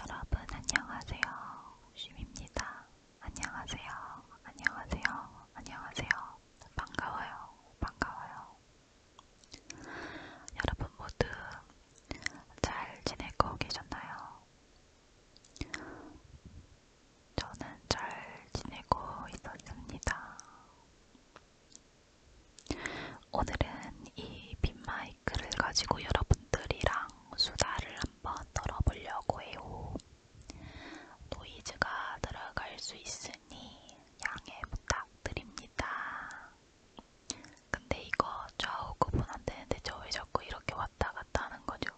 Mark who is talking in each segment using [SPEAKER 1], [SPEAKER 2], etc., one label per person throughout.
[SPEAKER 1] 여러분 안녕하세요. 쉼입니다. 안녕하세요. 안녕하세요. 안녕하세요. 반가워요. 반가워요. 여러분 모두 잘 지내고 계셨나요? 저는 잘 지내고 있었습니다. 오늘은 이 빈마이크를 가지고 여러분들이랑 수다를 한번 떨어보려고 해요. 노이즈가 들어갈 수 있으니 양해 부탁드립니다. 근데 이거 좌우 구분 안 되는데 저왜 자꾸 이렇게 왔다 갔다 하는 거죠?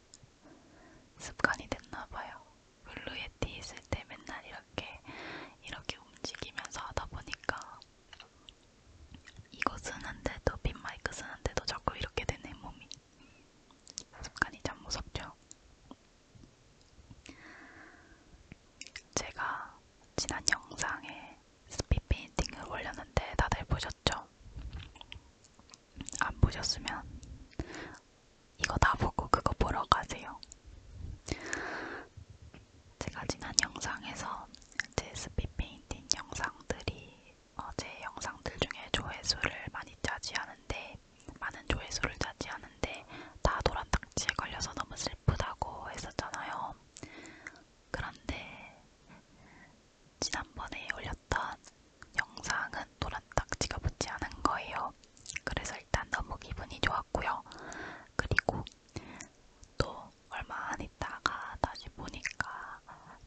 [SPEAKER 1] 습관이 됐나봐요. 블루에티 있을 때 맨날 이렇게 이렇게 움직이면서 하다 보니까 이거 쓰는데도 빈마이크 쓰는데도 자꾸 이렇게 되네 몸이 습관이 참 무섭죠. 제가 지난 영상에 스피드 페인팅을 올렸는데 다들 보셨죠? 안 보셨으면 이거 다 보고 그거 보러 가세요. 제가 지난 영상에서 제 스피 페인팅 영상들이 어, 제 영상들 중에 조회수를 많이 차지하는데 많은 조회수를 차지하는데 다 도란딱지에 걸려서 너무 슬프다고 했었잖아요. 그런데 지난번에 올렸던 영상은 도란딱지가 붙지 않은 거예요. 그래서 일단 너무 기분이 좋았고요. 그리고 또 얼마 안 있다가 다시 보니까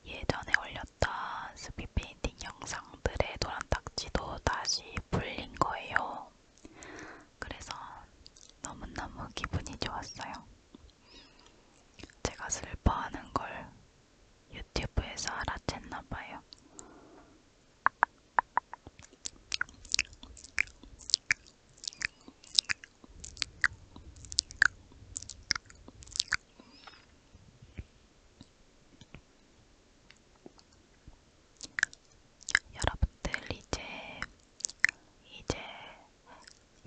[SPEAKER 1] 예전에 올렸던 스피페인팅 영상들의 노란 딱지도 다시 풀린 거예요. 그래서 너무너무 기분이 좋았어요. 제가 슬퍼하는 걸 유튜브에서 알아챘나봐요. 여러분들 이제 이제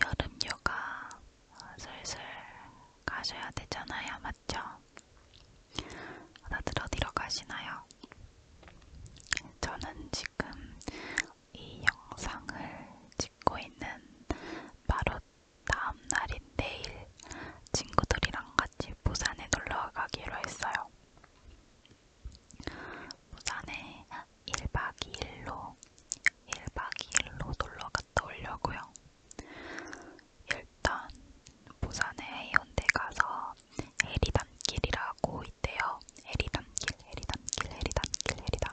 [SPEAKER 1] 여름 휴가 슬슬 가셔야 되잖아요, 맞죠? 다들 어디로 가시나요? 저는 지금 이 영상을 찍고 있는 바로 다음날인 내일 친구들이랑 같이 부산에 놀러가기로 했어요. 부산에 1박 2일로 1박 2일로 놀러갔다 오려고요. 일단 부산에 해운대 가서 해리단길이라고 있대요. 해리단길, 해리단길, 해리단길, 해리단길.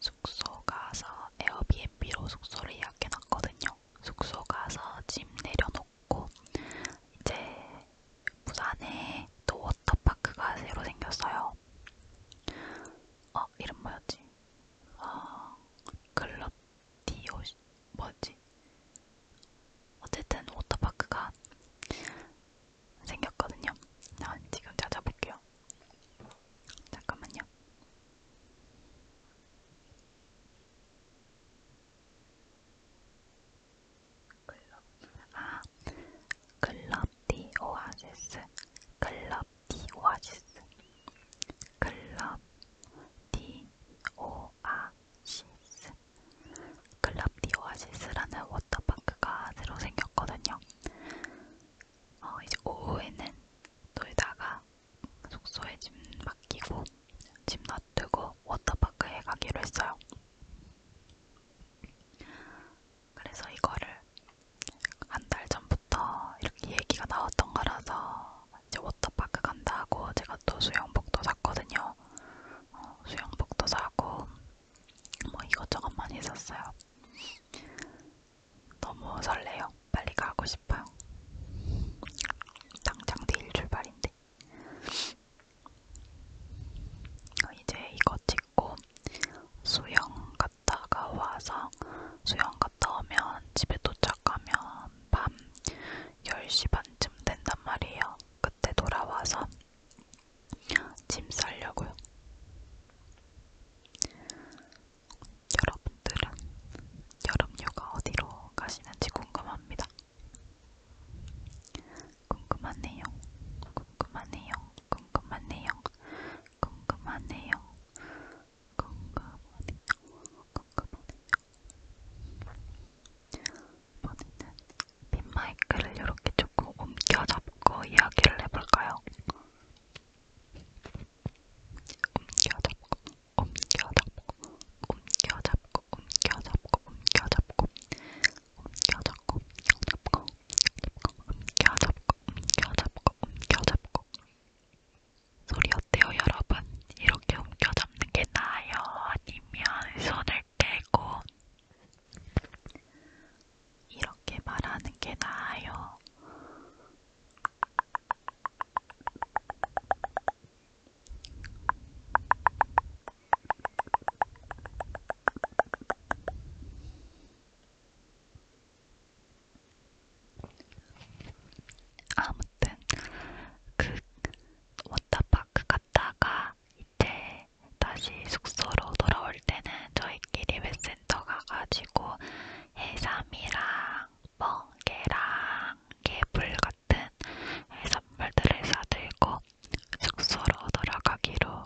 [SPEAKER 1] 숙소 가서 에어비앤비로 숙소를 예약해놨거든요. 숙소 가서 짐 내려놓고 이제 부산에 또 워터파크가 새로 생겼어요. 어 이름 뭐였지? 어 글러티오 뭐지? 어쨌든 워터파크가 생겼거든요. 아, 지금 찾아볼게요. 잠깐만요. 클럽 아 클럽 디 오아시스 클럽 디 오아시스 클럽 디 오아시스 클럽 디 오아시스라는 워터파크가 새로 생겼거든요. 어, 이제 오후에는 놀다가 숙소에 짐 맡기고 짐 놔두고 워터파크에 가기로 했어요. 그래서 이거를 한 달 전부터 이렇게 얘기가 나왔던 거라서 이제 워터파크 간다고 제가 또 수영복도 샀거든요. 어, 수영복도 사고 뭐 이것저것 많이 샀어요. 너무 설레요. 빨리 가고 싶어요. 당장 내일 출발인데. 어, 이제 이거 찍고 수영 갔다가 와서 수영 갔다 오면 집에 도착하면 밤 10시 반쯤 된단 말이에요. 그때 돌아와서 짐 싸려고요. 여러분들은 여름휴가 어디로 가시는지 궁금합니다. 궁금하네요. 궁금하네요. 궁금하네요. 궁금하네요. 궁금하네요. 궁금하네요. 이번에는 빈마이크를 이렇게 조금 옮겨 잡고 이야기를 해볼까요? 옮겨잡고 옮겨잡고 옮겨잡고 옮겨잡고 옮겨잡고 옮겨잡고 옮겨잡고 옮겨잡고 옮겨잡고 옮겨잡고 소리 어때요 여러분? 이렇게 옮겨잡는 게 나아요? 아니면 손을 떼고 이렇게 말하는 게 나아요. 아무튼 그 워터파크 갔다가 이제 다시 숙소로 돌아올 때는 저희끼리 메시지 센터 가가지고 해삼이랑 멍게랑 개불 같은 해산물들을 사들고 숙소로 돌아가기로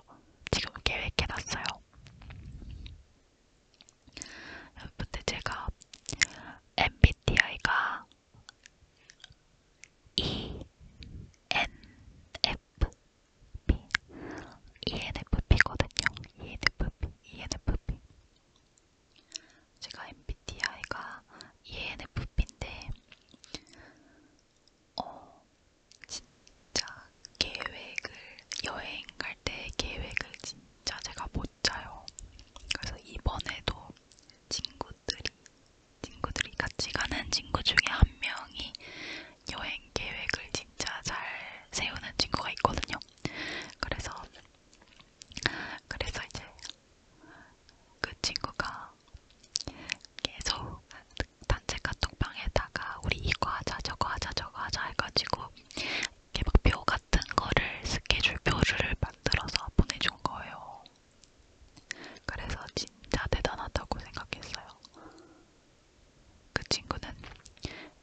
[SPEAKER 1] 지금 계획해놨어요. 근데 제가 MBTI가 E, N, ENFP, ENFP거든요. ENFP, ENFP. 제가 MBTI가 ENFP인데, 어, 진짜 계획을, 여행 갈 때 계획을 진짜 제가 못 짜요. 그래서 이번에도 친구들이, 친구들이 같이 가는 친구 중에 한 명이 여행 계획을 진짜 잘 세우는 친구가 있거든요. 그래서 그래서 이제 그 친구가 계속 단체 카톡방에다가 우리 이거 하자 저거 하자 저거 하자 해가지고 이렇게 막표 같은 거를 스케줄 표를 만들어서 보내준 거예요. 그래서 진짜 대단하다고 생각했어요. 그 친구는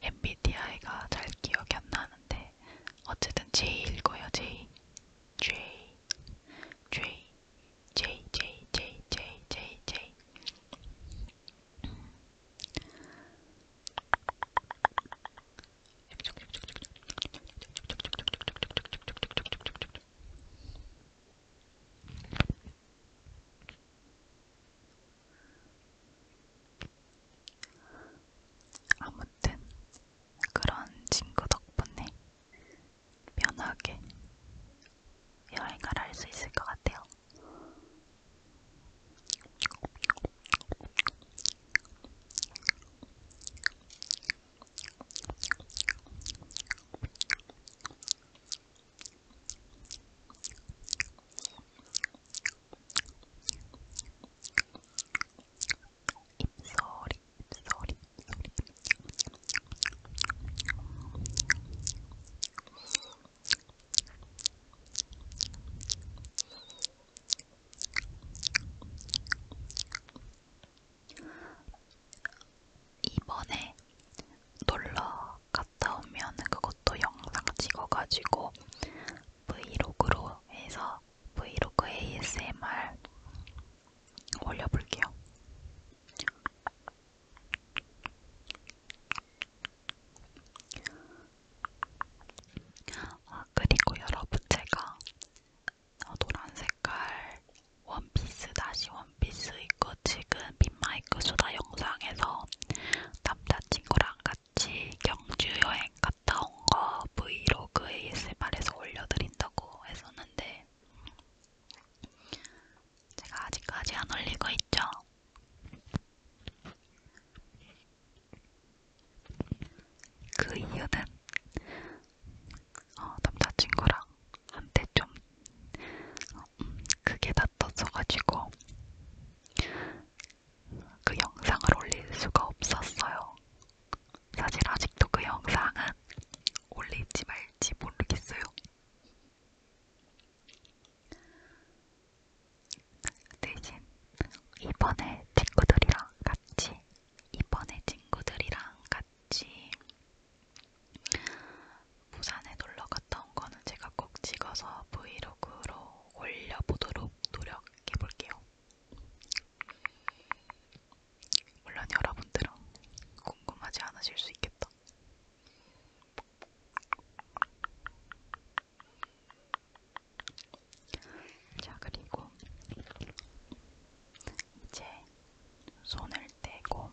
[SPEAKER 1] MBTI가 잘 기억이 안 나는데 어쨌든 J일 거예요. J, J, J, J, J, J, J, J, J. 아무튼 그런 친구 덕분에 편하게 여행을 할 수 있을 것 같아요. 입소리, 입소리, 입소리. 이번에 놀러 갔다 오면 그것도 영상 찍어가지고 브이로그로 해서 브이로그 ASMR 올려볼게요. 아, 그리고 여러분 제가 노란 색깔 원피스 다시 원피스 입고 지금 빈마이크 수다 영상에서 남자친구랑 같이 경주 여행 갔다 온 거 브이로그 ASMR에서 올려드린다고 했었는데 제가 아직까지 안 올리고 있죠? 그 이유는 어, 남자친구랑 한테 좀 어, 크게 다떴어가지고 그 영상을 올릴 수가 없었어요. 사실 아직도 그 영상은 올릴지 말지 모르겠어요. 대신 이번에 친구들이랑 같이 이번에 친구들이랑 같이 같이 부산에 놀러 갔다 온 거는 제가 꼭 찍어서 브이로그로 올려보도록 노력해볼게요. 물론 여러분들은 궁금하지 않으실 수 있겠다. 자, 그리고 이제 손을 떼고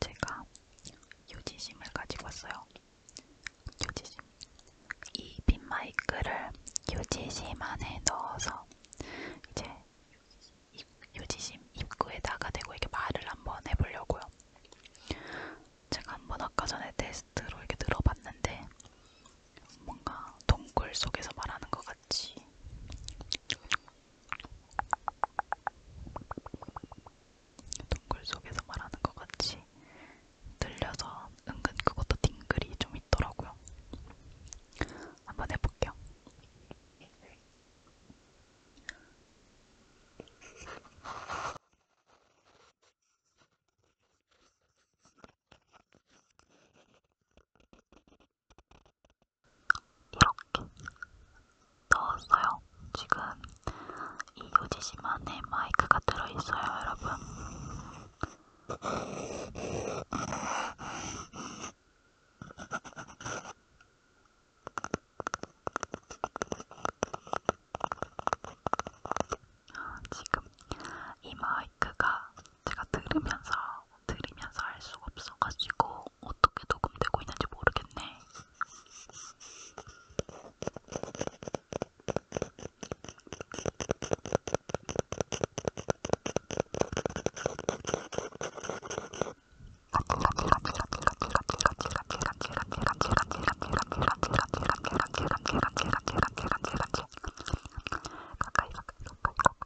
[SPEAKER 1] 제가 유지심을 가지고 왔어요. 유지심. 이 빈마이크를 유지심 안에 넣어서 이제 입, 유지심 입구에다가 대고 이렇게 말을 한번 해보려고요. 제가 한번 아까 전에 테스트로 이렇게 들어봤는데 뭔가 동굴 속에서 말하는 것 같이. 동굴 속에서 말하는 것 같이 들려서 은근 그것도 딩글이 좀 있더라고요. 한번 해볼게요. 이렇게 넣었어요. 지금 이 요지심안에 마이크가 들어있어요, 여러분. 지금 이 마이크가 마이크가 제가 들으면서 들으면서 알 수가 없어가지고 어떻게 녹음되고 있는지 모르겠네. 가까이 가까이 가까이 가까이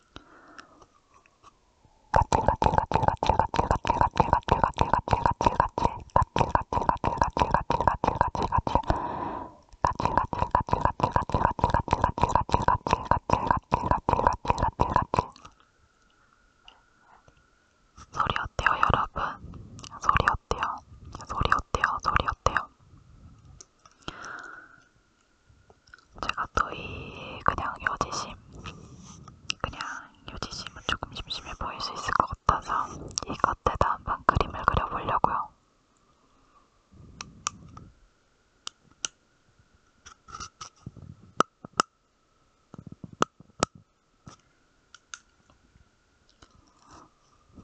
[SPEAKER 1] 소리 어때요, 여러분? 소리 어때요? 소리 어때요? 소리 어때요? 제가 또 이 그냥 요지심 그냥 요지심은 조금 심심해 보일 수 있을 것 같아서 이 겉에다 한번 그림을 그려보려고요.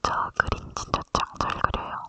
[SPEAKER 1] 저 그림 진짜 짱 잘 그려요.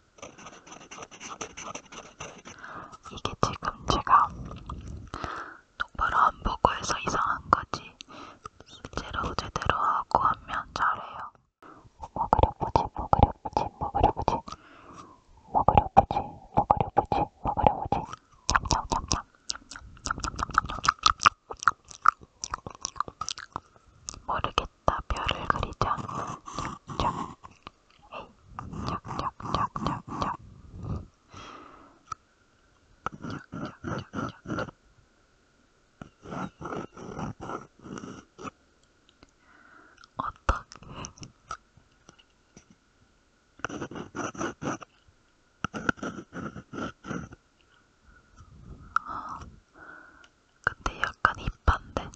[SPEAKER 1] 이게 지금 제가 똑바로 안 보고 해서 이상한 거지. 실제로 제대로 하고 하면 잘해요. 먹으려보지, 먹으려보지, 먹으려보지. 먹으려보지, 먹으려보지, 먹으려보지. 냠냠냠냠. 냠냠냠냠냠냠냠. 모르겠다. 별을 그리자. 쩍쩍. 에이, 쩍쩍쩍쩍쩍. 쩍쩍쩍쩍쩍. 어떡해. 근데 약간 힙한데?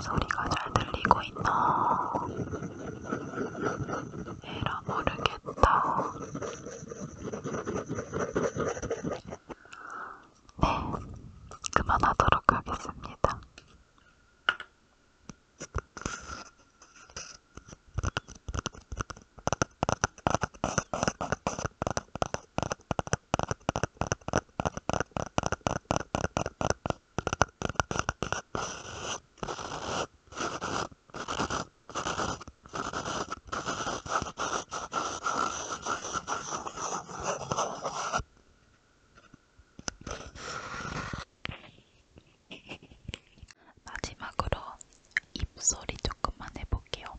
[SPEAKER 1] 소리가 잘 들리고 있나? 에라 모르게 있다. 네, 그만하도록 하겠습니다. 마지막으로 입소리 조금만 해볼게요.